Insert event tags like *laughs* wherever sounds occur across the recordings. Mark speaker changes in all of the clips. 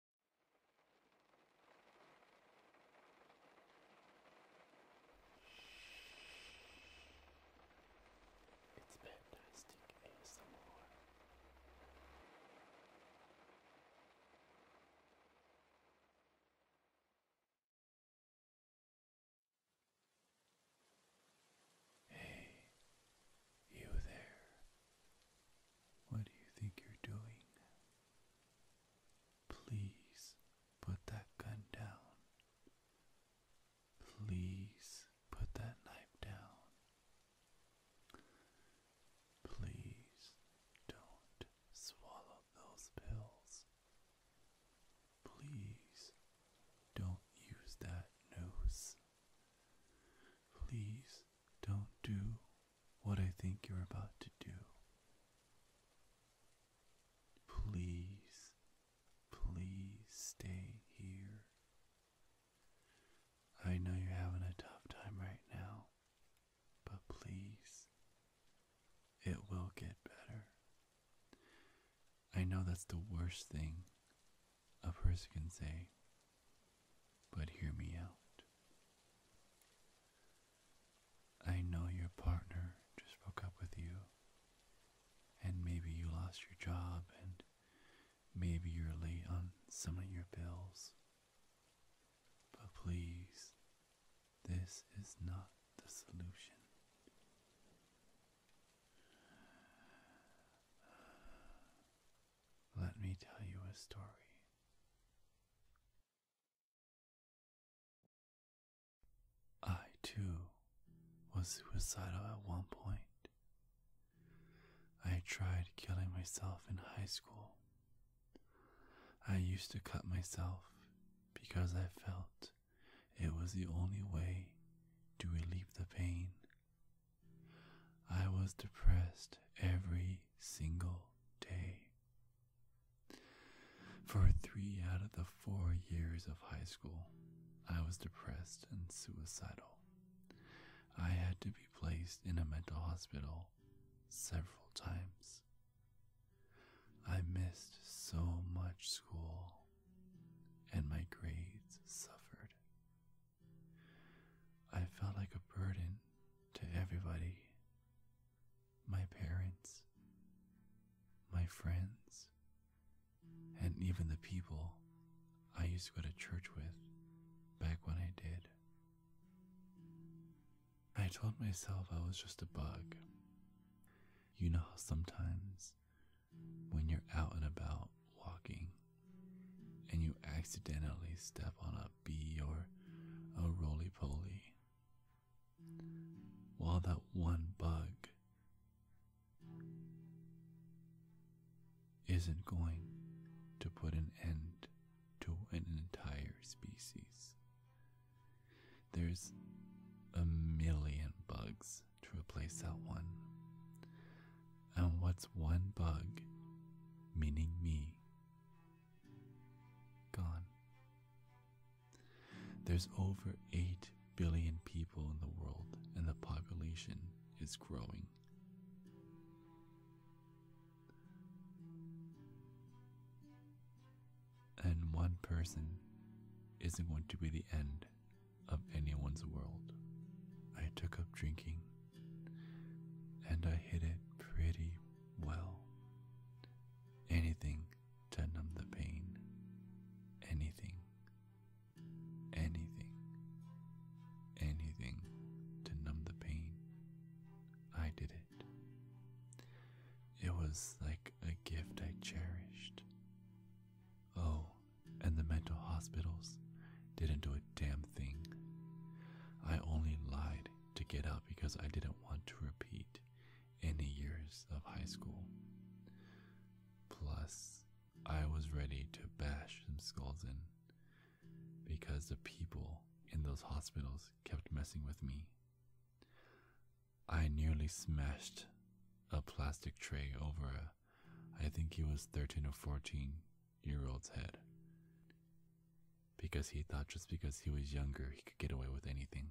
Speaker 1: It's fantastic Hey, you there. What do you think you're doing? Please put that gun down. Please put that knife down. Please don't swallow those pills. Please don't use that nose. Please don't do what I think you're about to do. Please, please stay here. I know you're having a tough time right now, but please, it will get better. I know that's the worst thing a person can say, but hear me out. I know your partner just broke up with you, and maybe you lost your job, and maybe you're late on some of your bills. But please, this is not the solution. Let me tell you a story. I too was suicidal at one point. I tried killing myself in high school. I used to cut myself because I felt it was the only way to relieve the pain I was depressed every single day. For three out of the four years of high school, I was depressed and suicidal. I had to be placed in a mental hospital several times. I missed so much school and my grades suffered. I felt like a burden to everybody my parents, my friends, and even the people I used to go to church with back when I did. I told myself I was just a bug. You know how sometimes when you're out and about walking and you accidentally step on a bee or a roly poly, while that one bug isn't going to put an end to an entire species. There's a million bugs to replace that one. And what's one bug, meaning me, gone? There's over 8 billion people in the world, and the population is growing and one person isn't going to be the end of anyone's world. I took up drinking and I hid it pretty well. Anything to numb the pain. Anything. Anything. Anything to numb the pain. I did it. It was like a gift I cherished. Oh, and the mental hospitals didn't do a damn thing. I only lied to get out because I didn't want to repeat any years of high school. Plus, I was ready to bash some skulls in because the people in those hospitals kept messing with me. I nearly smashed a plastic tray over a, I think he was 13 or 14 year old's head. Because he thought just because he was younger, he could get away with anything.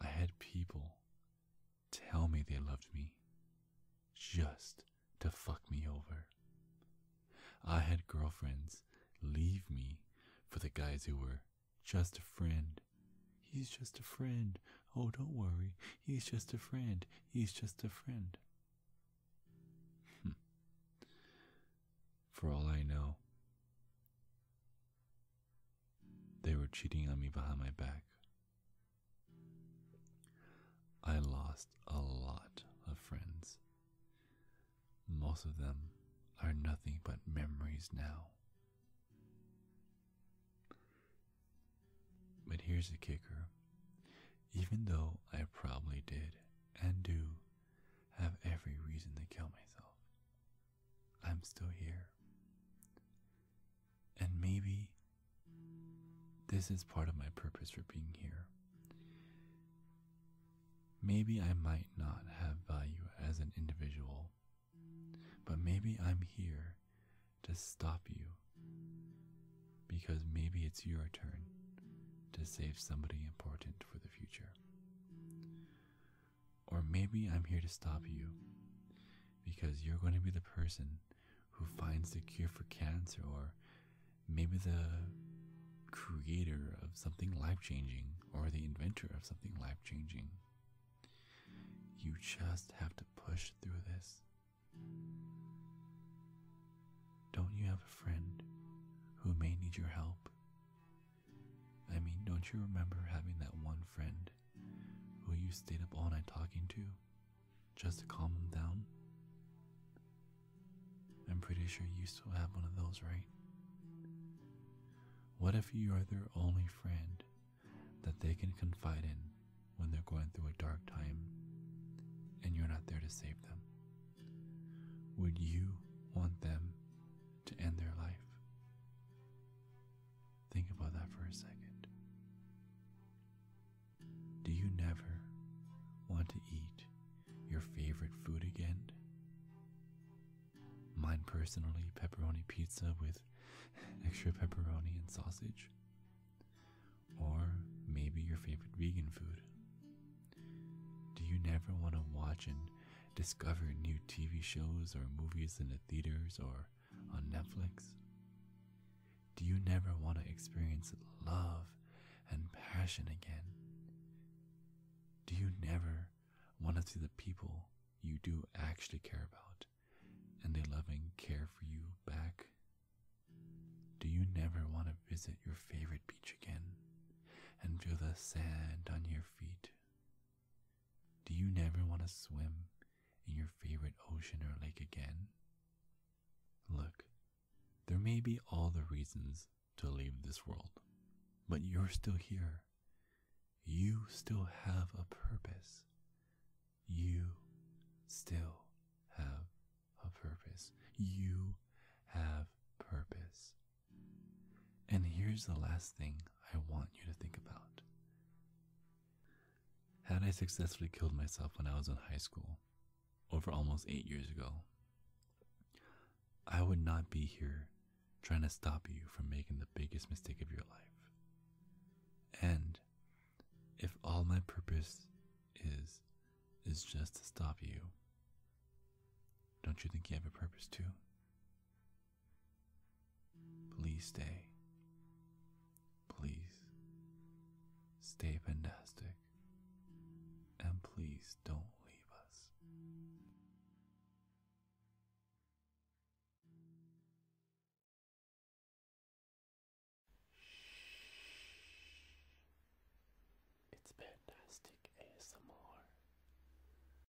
Speaker 1: I had people tell me they loved me just to fuck me over. I had girlfriends leave me for the guys who were just a friend. He's just a friend. Oh, don't worry. He's just a friend. He's just a friend. For all I know, they were cheating on me behind my back. I lost a lot of friends. Most of them are nothing but memories now. But here's the kicker even though I probably did and do have every reason to kill myself, I'm still here. And maybe this is part of my purpose for being here. Maybe I might not have value as an individual, but maybe I'm here to stop you because maybe it's your turn to save somebody important for the future. Or maybe I'm here to stop you because you're going to be the person who finds the cure for cancer, or maybe the creator of something life changing, or the inventor of something life changing. You just have to push through this. Don't you have a friend who may need your help? I mean, don't you remember having that one friend who you stayed up all night talking to just to calm them down? I'm pretty sure you still have one of those, right? What if you are their only friend that they can confide in when they're going through a dark time and you're not there to save them? Would you want them to end their life? Think about that for a second. Do you never want to eat your favorite food again? Mine personally, pepperoni pizza with *laughs* extra pepperoni and sausage. Or maybe your favorite vegan food. Do you never want to watch and discover new TV shows or movies in the theaters or on Netflix? Do you never want to experience love and passion again? Do you never want to see the people you do actually care about and they loving care for you back? Do you never want to visit your favorite beach again and feel the sand on your feet do you never want to swim in your favorite ocean or lake again? Look, there may be all the reasons to leave this world, but you're still here. You still have a purpose. You still have a purpose. You have purpose. And here's the last thing I want you to think about. Had I successfully killed myself when I was in high school, over almost eight years ago, I would not be here trying to stop you from making the biggest mistake of your life. And if all my purpose is, is just to stop you, don't you think you have a purpose too? Please stay. Please stay fantastic. And please don't leave us. It's fantastic ASMR.